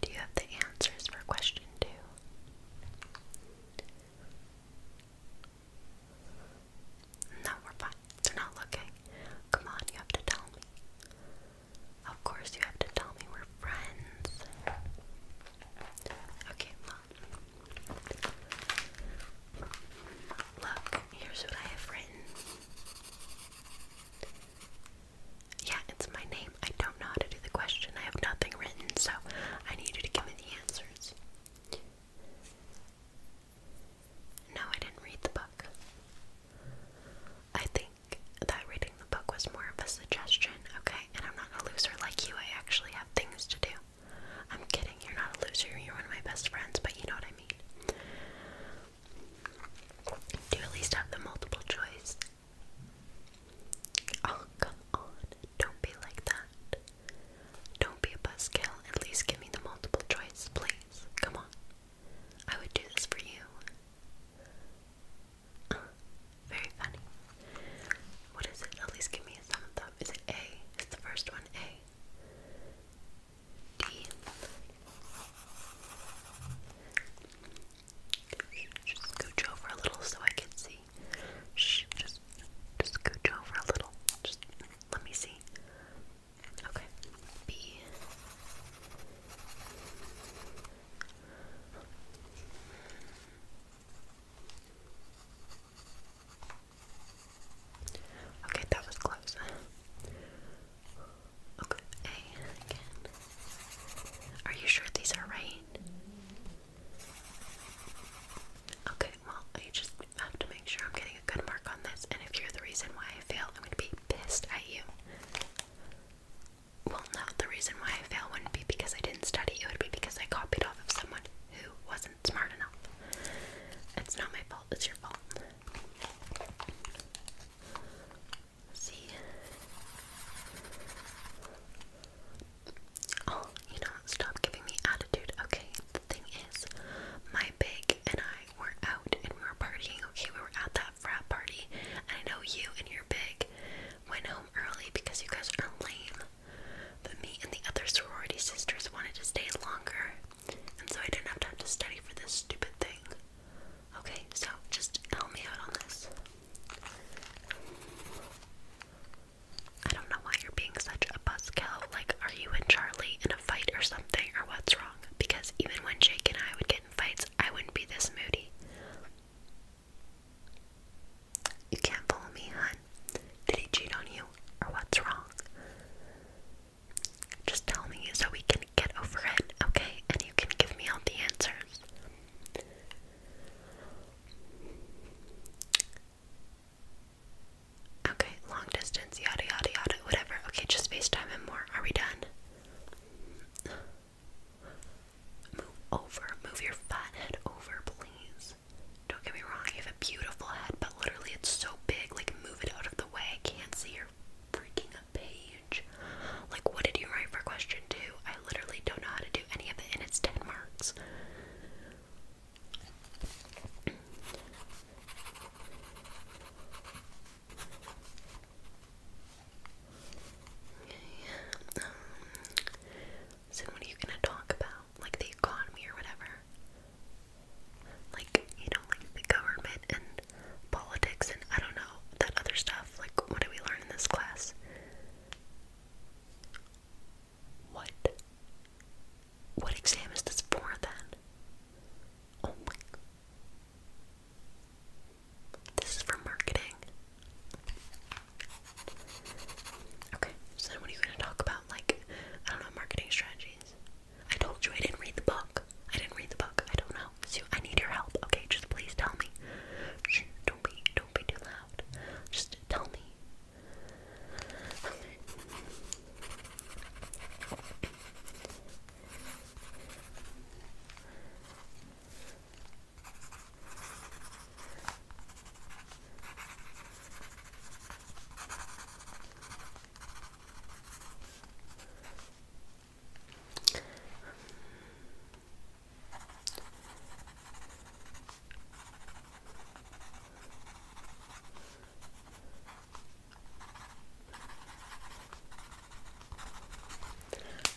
Do you have the answers for question two? No, we're fine. They're not looking. Come on, you have to tell me. Of course, you have to tell me we're friends. Okay, look. Look, here's what I have written. Yeah, it's my name. I don't know how to do the question. I have nothing written, so I need you to give me the answers. No, I didn't read the book. I think that reading the book was more of a suggestion, okay? And I'm not a loser like you. I actually have things to do. I'm kidding. You're not a loser. You're one of my best friends, but you know what I mean. Do at least have the multiple choice? Oh, come on. Don't be like that. Don't be a buzzkill. At least give me the multiple choice, please. Come on. I would do this for you. very funny. What is it? At least give me a thumbs up. Is it A? Is the first one A? deep. Just scooch over a little so I can see. Shh, just, just scooch over a little. Just let me see. Okay. B. Okay, that was close. Okay, again. Are you sure these are right? Okay, well, I just have to make sure I'm getting a good mark on this, and if you're the reason why I fail, I'm gonna be pissed at you. Well, no, the reason why I fail wouldn't be because I didn't study, it would be because I copied off of someone who wasn't smart enough. It's not my fault, it's your fault. See? Oh, you know, stop giving me attitude. Okay, the thing is, my big and I were out and we were partying. Okay, we were at that frat party. And I know you and your big went home early because you guys are lame. But me and the other sorority sisters wanted to stay longer and so I didn't have time to study for this stupid thing. Okay, so just help me out on this. I don't know why you're being such a buzzkill. Like, are you and Charlie in a fight or something, or what's wrong? Because even when Jake and I would get in fights, I wouldn't be this moody. You can't follow me, hun. Did he cheat on you, or what's wrong? Just tell me so we can get over it, okay? And you can give me all the answers. Okay, long distance, yada yada yada, whatever. Okay, just FaceTime and more. Are we done? Move over. Move your fat head over, please. Don't get me wrong, you have a beautiful head, but literally it's so big, like move it out of the way. I can't see your freaking page. Like, what did you write for question two? I literally don't know how to do any of it, and it's 10 marks. Um, so, what are you gonna talk about? Like the economy or whatever? Like, you know, like the government and politics and I don't know that other stuff. Like, what did we learn in this class? What? What exam is this for then? Oh my. This is for marketing. Okay, so then what are you going to talk about? Like, I don't know, marketing strategies. I told you I didn't read the book. I didn't read the book. I don't know. So I need your help. Okay, just please tell me. don't be, don't be too loud. Just tell me.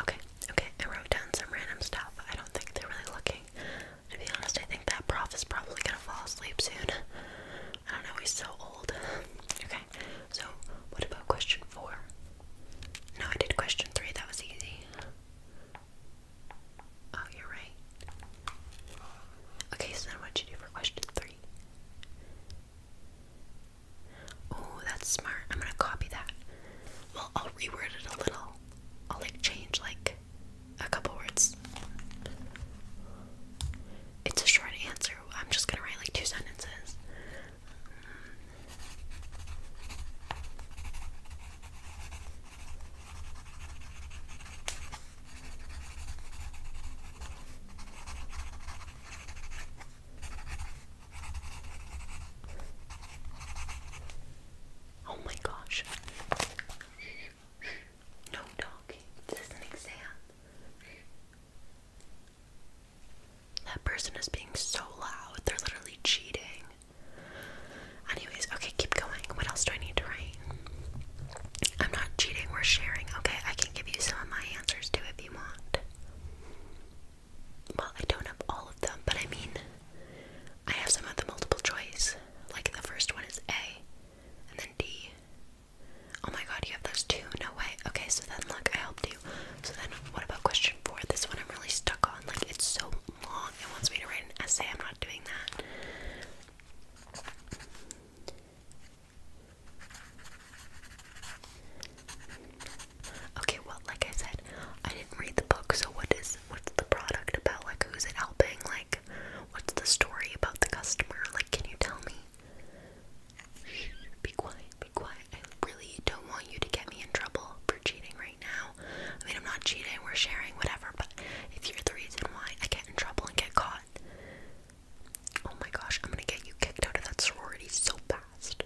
Okay, okay, I wrote down some random stuff. I don't think they're really looking. To be honest, I think that prof is probably gonna fall asleep soon. I don't know, he's so old. Okay so what about question four? No, I did question three, that was easy. Oh, you're right. Okay, so then what'd you do for question three? Oh, that's smart. I'm gonna copy that. Well, I'll reword it a little. I'll like change like a couple words. It's a short answer. I'm just gonna write like two sentences. Oh my gosh. No, dog. This is an exam. That person is being so loud. They're literally cheating. Anyways, okay, keep going. What else do I need to write? I'm not cheating, we're sharing. Okay, I can give you some of my answers too if you want. Well, I don't have all of them, but I mean, I have some of the multiple choice. Like the first one is A, and then D, Oh my god, you have those two? No way. Okay, so then look, I helped you. So then what about question four? This one I'm really stuck on. Like it's so long. It wants me to write an essay. I'm not doing that. Okay, well, like I said, I didn't read the book, so what is what's the product about? Like who's it helping? Like what's the story about the customer? Like can you tell me? be quiet, be quiet. I really don't want you to get me in trouble for cheating right now. I mean, I'm not cheating, we're sharing, whatever, but if you're the reason why I get in trouble and get caught, oh my gosh, I'm gonna get you kicked out of that sorority so fast.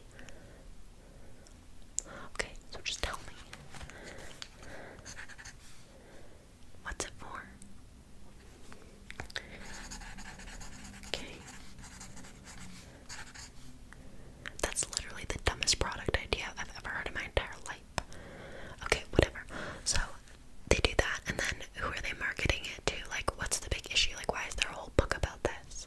Okay, so just tell me. What's it for? Okay. That's literally the dumbest product idea I've ever heard in my entire life. Okay, whatever. So they do that, and then who are they marketing it to? Like, what's the big issue? Like, why is there a whole book about this?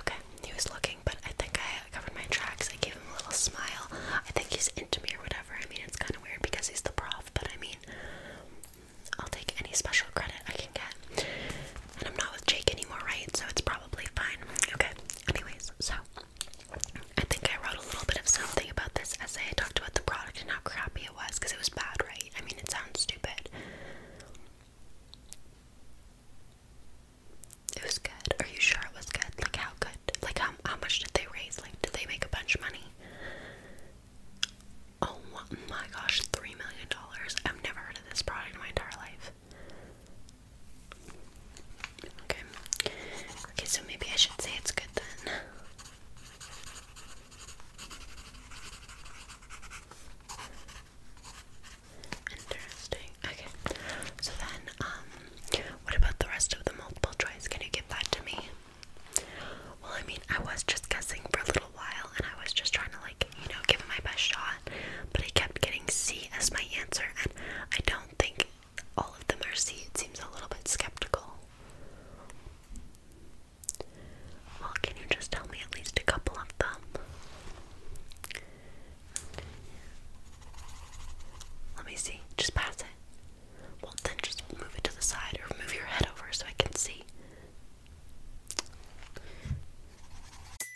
Okay, he was looking, but I think I covered my tracks. I gave him a little smile. I think he's into me or whatever. I mean, it's kind of weird because he's the prof, but I mean, I'll take any special credit I can get. And I'm not with Jake anymore, right? So it's probably fine. Okay, anyways, so I think I wrote a little bit of something about this essay. I talked about the product and how crappy it was because it was bad, right? I mean, it sounds stupid. It was good. Are you sure it was good? Like, how good? Like, how, how much did they raise? Like, did they make a bunch of money? Oh my gosh, $3 million. I've never heard of this product in my entire life. Okay. Okay, so maybe I should say it's good then. Interesting. Okay. So then, um, what about the rest of the multiple choice? Can you give that to me? Well, I mean, I was just guessing for a little while and I was just trying to, like, you know, give my best shot, but I kept getting C as my answer, and I don't think all of them are It seems a little bit skeptical. Well, can you just tell me at least a couple of them? Let me see. Just pass it. Well, then just move it to the side or move your head over so I can see.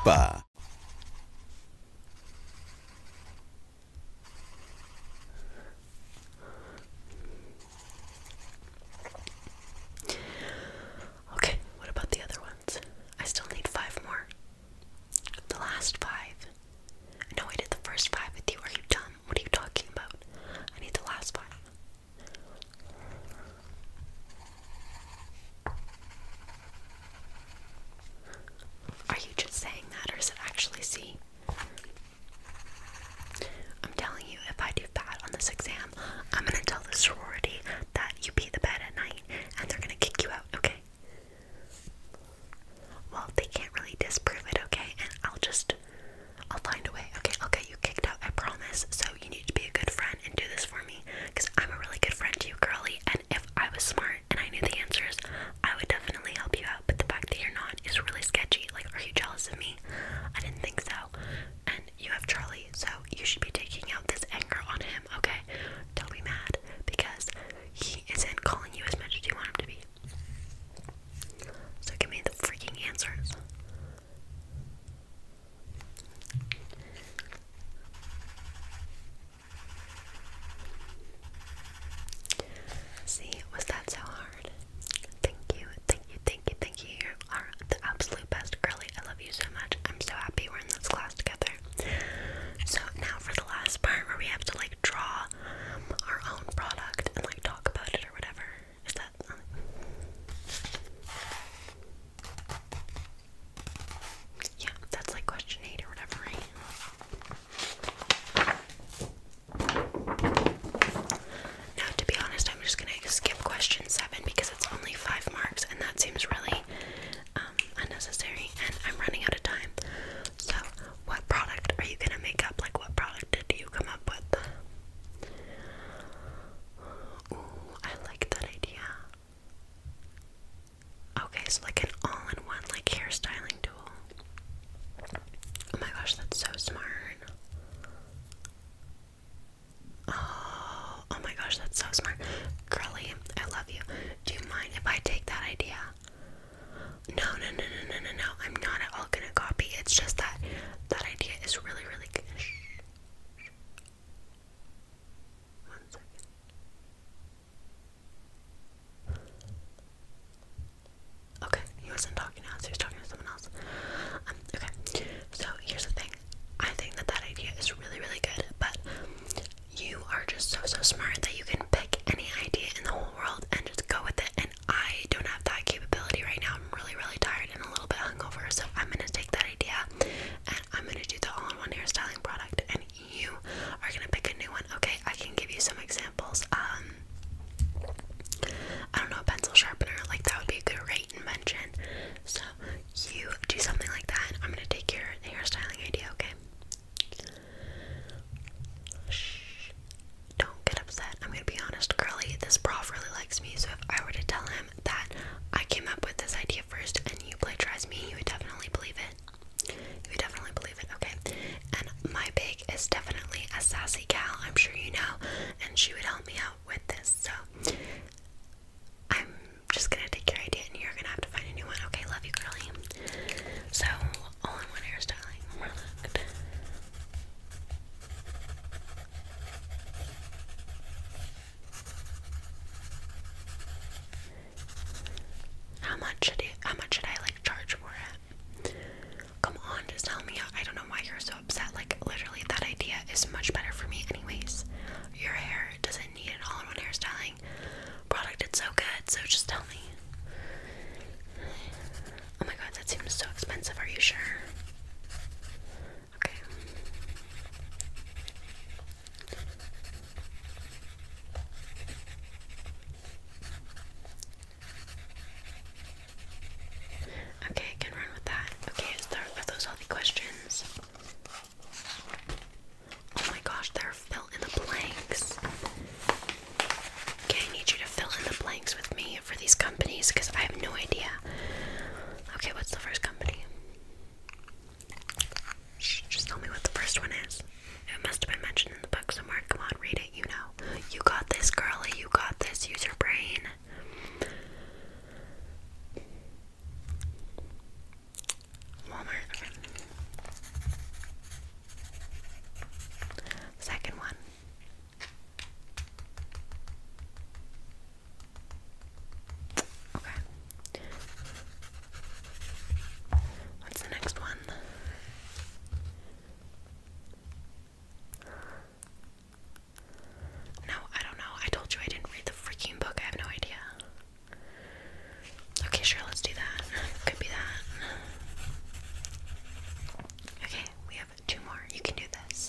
ba Okay, what about the other ones? I still need five more. The last five. No, I did the first five with you. Are you dumb? What are you talking about? I need the last five. Are you just saying that, or is it actually C? I'm telling you, if I do bad on this exam, I'm gonna tell the sorority that you pee the bed at night and they're gonna kick you out, okay? Well, they can't really disprove it, okay? And I'll just, I'll find a way, okay? I'll get you kicked out, I promise. So you need to be a good friend and do this for me because I'm a really good friend to you, girly. And if I was smart and I knew the answers, I would definitely help you out. But the fact that you're not is really sketchy. Like, are you jealous of me? I didn't think so. And you have Charlie, so you should be taking out this anger on him, okay? Don't be mad because he isn't calling you as much as you want him to be. So give me the freaking answers. See, was that so hard? Thank you, thank you, thank you, thank you. You are the absolute best, girly. I love you so much. I'm so happy we're in this class together. So now for the last part where we have to like draw um, our own product and like talk about it or whatever. Is that? Um, yeah, that's like question eight or whatever, Now, to be honest, I'm just gonna skip question seven because it's only five marks, and that seems really um, unnecessary. And I'm running out of time. So, what product are you gonna make up? Like, what product did you come up with? Ooh, I like that idea. Okay, so like an all-in-one like hairstyling tool. Oh my gosh, that's so smart. Oh, oh my gosh, that's so smart. Curly, I love you. Do you mind if I take that idea? No, no, no, no, no, no, no. I'm not at all gonna copy. It's just that that idea is really, really good. Okay, he wasn't talking to us, he was talking to someone else. Um, okay, so here's the thing. I think that that idea is really, really good, but you are just so, so smart that you can pick any idea in the whole world and just go with it. And I don't have that capability right now. I'm really, really tired and a little bit hungover, so I'm gonna take that idea and I'm gonna do the all-in-one hairstyling product and you are gonna pick a new one. Okay, I can give you some examples. Um I don't know, a pencil sharpener, like that would be a good, great invention. So you do something like that I'm gonna take your hairstyling idea, okay? Shh. Don't get upset. I'm gonna be honest, Curly, this prof really likes me, so if I were to tell him that I came up with this idea first and you plagiarized me, you would definitely believe it. You would definitely believe it, okay? And my pig is definitely a sassy gal, I'm sure you know, and she would help me out with this, so I'm just gonna take your idea and you're gonna have to find a new one. Okay, love you, girlie. So, all in one hairstyling. we how much should it, how much should I like charge for it? Come on, just tell me. I don't know why you're so upset. Like literally, that idea is much better for me, anyways. Your hair doesn't need an all-in-one hairstyling product. It's so good. So just tell me. Oh my god, that seems so expensive. Are you sure? Okay. Okay, can run with that. Okay, is there, are those all the questions? Oh my gosh, they're fill in the blanks. Okay, I need you to fill in the blanks with me for these companies because I have no idea. Okay, what's the first company? just tell me what the first one is. It must have been mentioned in the book somewhere. Come on, read it. You know. You got this, girlie. You got this. Use your brain. Walmart. Second one. Okay. What's the next one? No, I don't know. I told you I didn't read the freaking book. I have no idea. Okay, sure, let's do that. Could be that. Okay, we have two more. You can do this.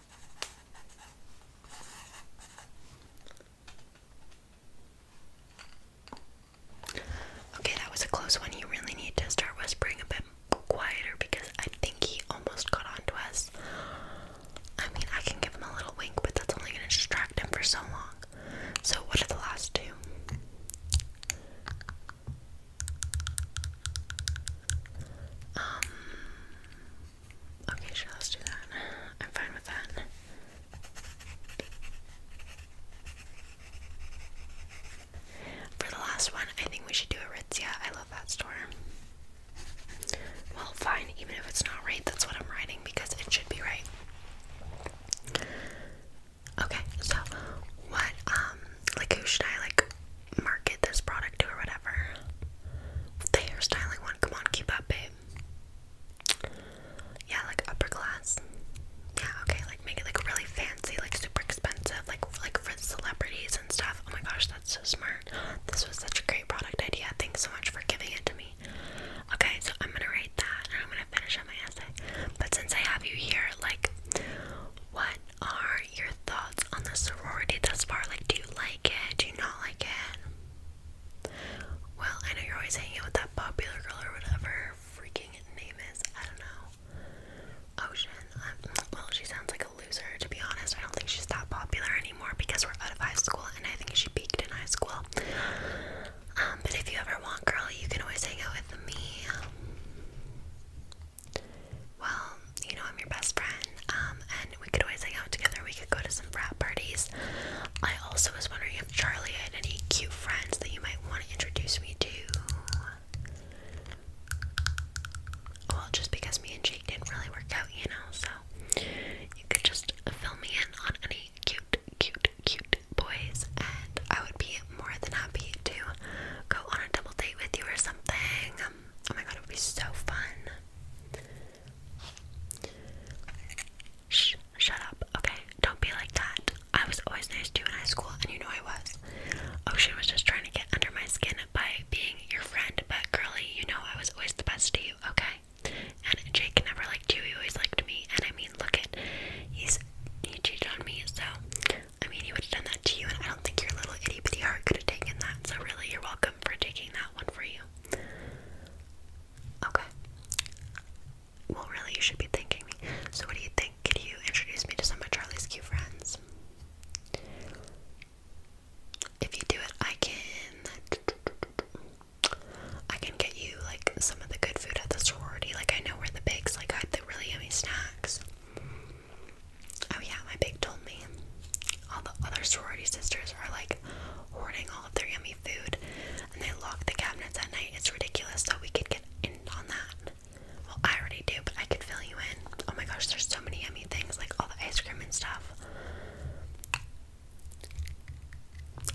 Okay, that was a close one. You really need to start whispering a bit quieter because I think he almost got onto us. I mean, I can give him a little wink, but that's only going to distract him for so long. So, what did the last two? Um, okay, sure, let's do that. I'm fine with that. For the last one, I think we should do a Ritzia. I love that store. Well, fine, even if it's not right, that's what I'm writing because it should be right. Okay, so what, um, like who should I like market this product to or whatever. The hairstyling one, come on, keep up, babe. Yeah, like upper class. Yeah, okay, like make it like really fancy, like super expensive, like like for celebrities and stuff. Oh my gosh, that's so smart. This was such a great product idea. Thanks so much for giving it to me. Okay, so I'm gonna write that and I'm gonna finish up my essay. But since I have you here, like what are your thoughts on the sorority thus far? Like, do you like it? Do you not like it? Well, I know you're always hanging out with that popular girl or whatever freaking name is. I don't know. Ocean. Um, well, she sounds like a loser, to be honest. I don't think she's that popular anymore because we're out of high school and I think she peaked in high school. Um, but if you ever want, girl, you can always hang out with me. Well, you know I'm your best friend, um, and we could always hang out together. We could go to some frat parties. I also was wondering if Charlie had any cute friends that you might want to introduce me to. Well, just because me and Jake didn't really work out, you know, so you could just fill me in on any cute, cute, cute boys, and I would be more than happy to go on a double date with you or something. Oh my god, it would be so fun. Shh, shut up. Okay, don't be like that. I was always nice to you in high school, and you know I was. Ocean was just trying to get under my skin by being your friend, but girly, you know I was always the best to you, okay? And Jake never liked you, he always liked me, and I mean, look at, he's, he cheated on me, so I mean, he would have done that to you, and I don't think your little itty bitty heart could have taken that. So, really, you're welcome for taking that one for you. Okay. Well, really, you should be thanking me. So, what do you think? Could you introduce me to some of Charlie's cute friends? If you do it, I can. I can get you like some of the good food at the sorority. Like I know where the bakes like hide the really yummy snacks. Oh yeah, my big told me all the other sorority sisters are like hoarding all of their yummy food and they lock the cabinets at night. It's ridiculous, so we could get in on that. Well, I already do, but I could fill you in. Oh my gosh, there's so many yummy things, like all the ice cream and stuff.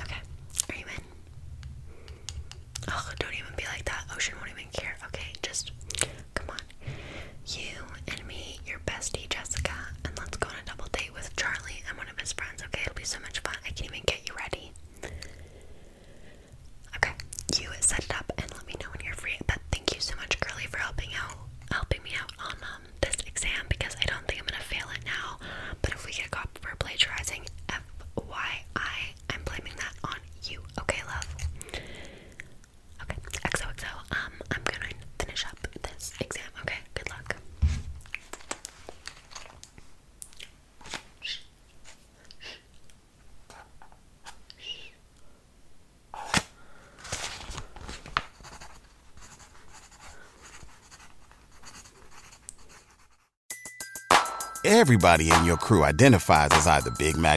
Okay, are you in? Oh, don't even be like that. Ocean won't even care. Okay, just come on. You and me, your bestie Jessica, and let's go on a double date with Charlie and one of his friends, okay? It'll be so much fun. I can even get you ready. Okay, you set it up and let me know when you're free. But thank you so much, Curly, for helping out helping me out on um, this exam because I don't think I'm gonna fail it now. But if we get caught for plagiarizing, FYI, I'm blaming that on you. Okay, love. Okay, XOXO. Um, I'm gonna finish up this exam. Okay, good luck. Everybody in your crew identifies as either Big Mac